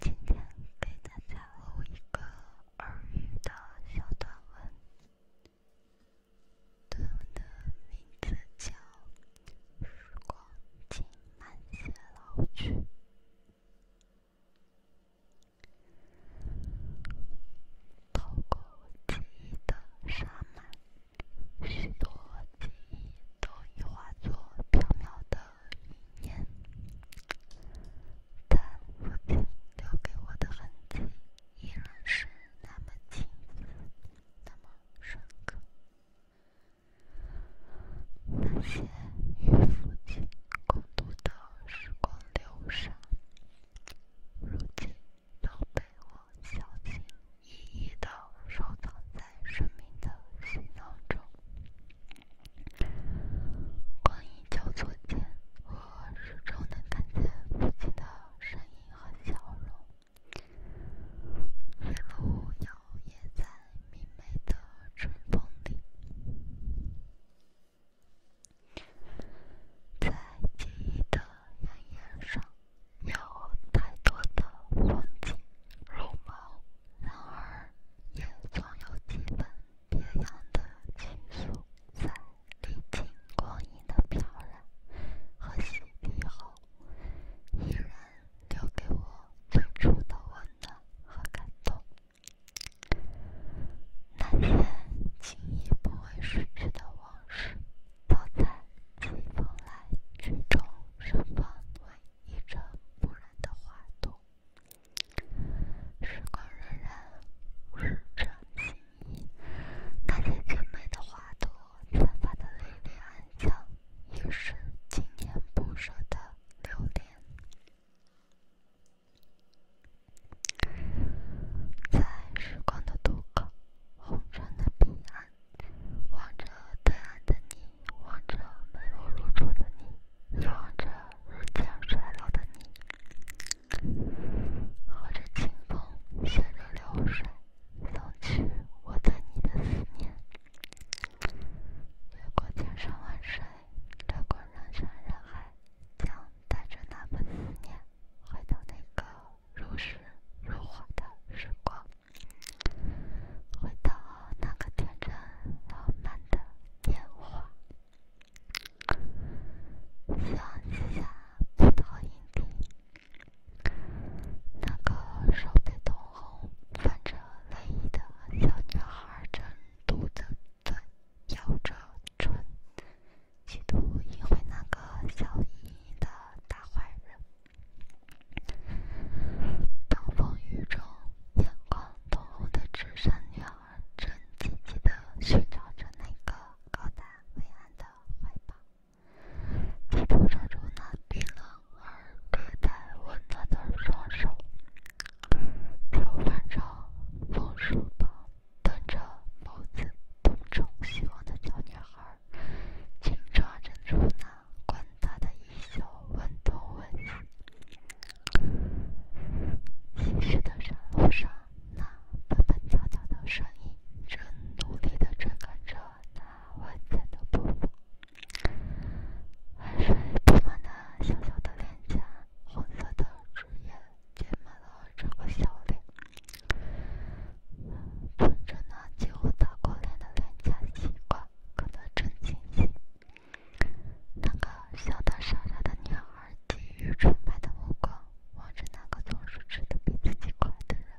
今天给大家录一个耳语的小短文，短文的名字叫《时光，请慢些老去》，透过记忆的沙幔。许多记忆都已化作缥缈的云烟，但父亲留给我的痕迹依然是那么清晰、那么深刻。那些与父亲共度的时光流沙，如今都被我。小心，一一的收藏在生命的行囊中。光阴交错间，我始终能看见父亲的身影和笑容。野摇曳在明媚的春风里，在记忆的阳台上。有太多的风景如梦，然而也总有几本别样的情愫，在历经光阴的漂染和洗涤后，依然留给我最初的温暖和感动。那些轻易不会逝去的往事。躺在清风来之中，身旁是一阵不染的花朵。时光荏苒，物是人非，那些绝美的花朵散发的缕缕安香，也是经年不舍的留恋。在时光的渡口，红尘的彼岸。望着对岸的你，望着美若如初的你，望着日渐衰老的你。和着清风，顺着流水，送去我对你的思念。越过千山万水，穿过人山人海，将带着那份思念，回到那个。如诗如画的时光，回到那个天真浪漫的年华，阳西下葡萄影地，那个手被冻红、泛着泪的小女孩正嘟着嘴，咬着唇，企图引回那个笑盈盈的大坏人。暴风雨中，眼眶通红的纸伞女孩正急急地寻找着那个高大伟岸的怀抱，企图抓住那冰冷而略带温暖的双手。手翻着，风书包，瞪着眸子，东中希望的小女孩。紧抓着住那宽大的衣袖，问东问西。崎岖的山路上，那蹦蹦跳跳的身影正努力的追赶着那稳健的步。汗水布满那小小的脸颊，红色的枝叶缀满了整个笑脸。望着那几乎打过脸的廉价西瓜，感到震惊。那个笑的傻傻的女孩，给于纯白的目光，望着那个总是吃的比自己快的人。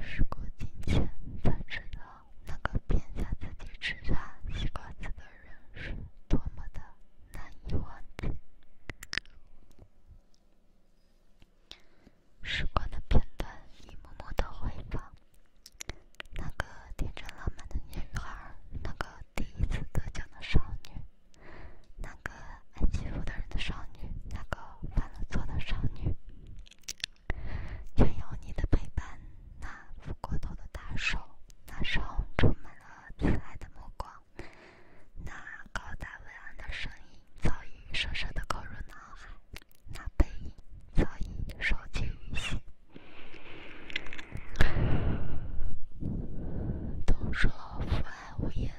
时过境迁，才知道那个骗下自己吃下西瓜子的人是多么的……难以忘时光的片段，一幕幕的回放。那个天真浪漫的女孩，那个第一次得奖的少女，那个爱欺负人的少女，那个犯了错的少女，全有你的陪伴。那抚过头的大手，那时出门了。慈爱的目光，那高大伟岸的身影早已深深的刻入脑海，那背影早已深记于心。都说父爱无言，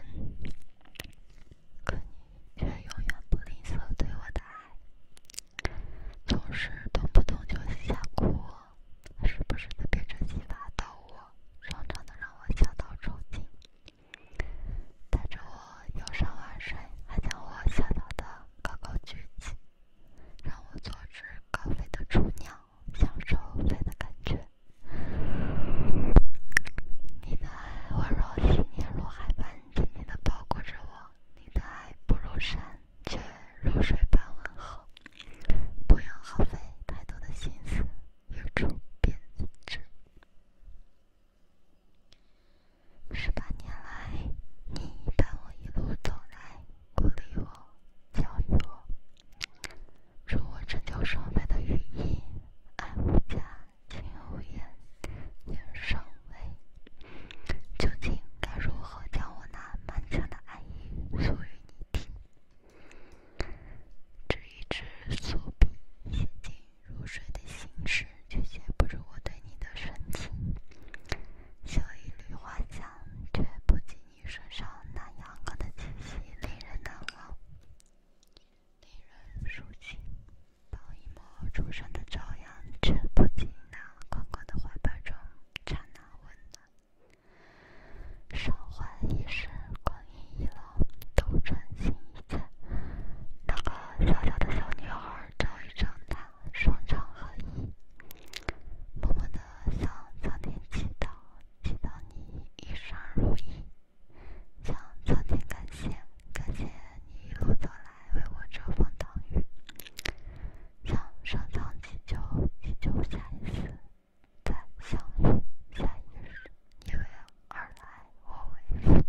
可你却永远不吝啬对我的爱，总是动不动就想哭。时不时的变出奇法到我，常常的让我想到抽筋。带着我游山玩水，还将我吓到的高高举起，让我做只高飞的雏鸟，享受飞的感觉。你的爱温柔似绵如海般紧紧的包裹着我，你的爱不入山。却如水般温和，不用耗费太多的心思，由衷编织。十八年来，你伴我一路走来，鼓励我，教育我，助我成就上位的羽翼。爱无价，情无言，言上位。究竟该如何将我那满腔的爱意诉与？你听，执一支素笔，写尽如水的心事，却写不出我对你的深情；嗅一缕花香，却不及你身上那阳刚的气息，令人难忘，令人舒情；抱一抹初升的朝阳，却不及那宽广的怀抱中刹那温暖。韶华已逝，光阴已老，斗转星移间，那个小小的小女孩早已长大，双商合一，默默的向苍天祈祷，祈祷你一生如意，向苍天感谢，感谢你一路走来为我遮风挡雨。向上苍祈求，祈求下一次再相遇，下一日你为而来，我为去，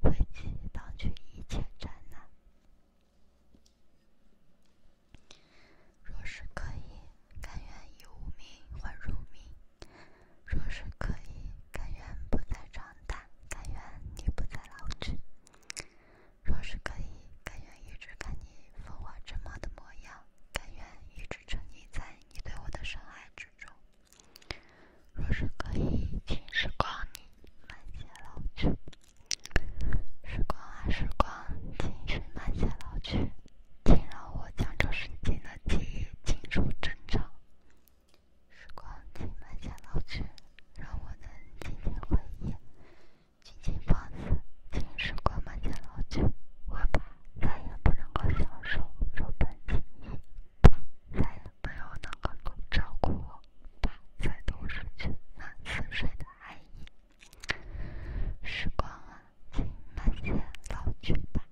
为其挡去一切灾难。若是可以，甘愿以无名换辱名；若是可以，甘愿不再长大，甘愿你不再老去。若是可以，甘愿一直看你风华正茂的模样，甘愿一直沉溺在你对我的深爱之中。若是可以，时光你慢些老去，时光啊时光，请你慢些老去，请让我将这瞬间的记忆尽入枕中。时光，请慢些老去，让我能渐渐回忆。尽情放肆，请时光慢些老去。我爸再也不像个教授，柔板轻移，再也没有哪个能照顾我。爸在冬日里那慈水的爱意，时光啊，请慢些老去吧。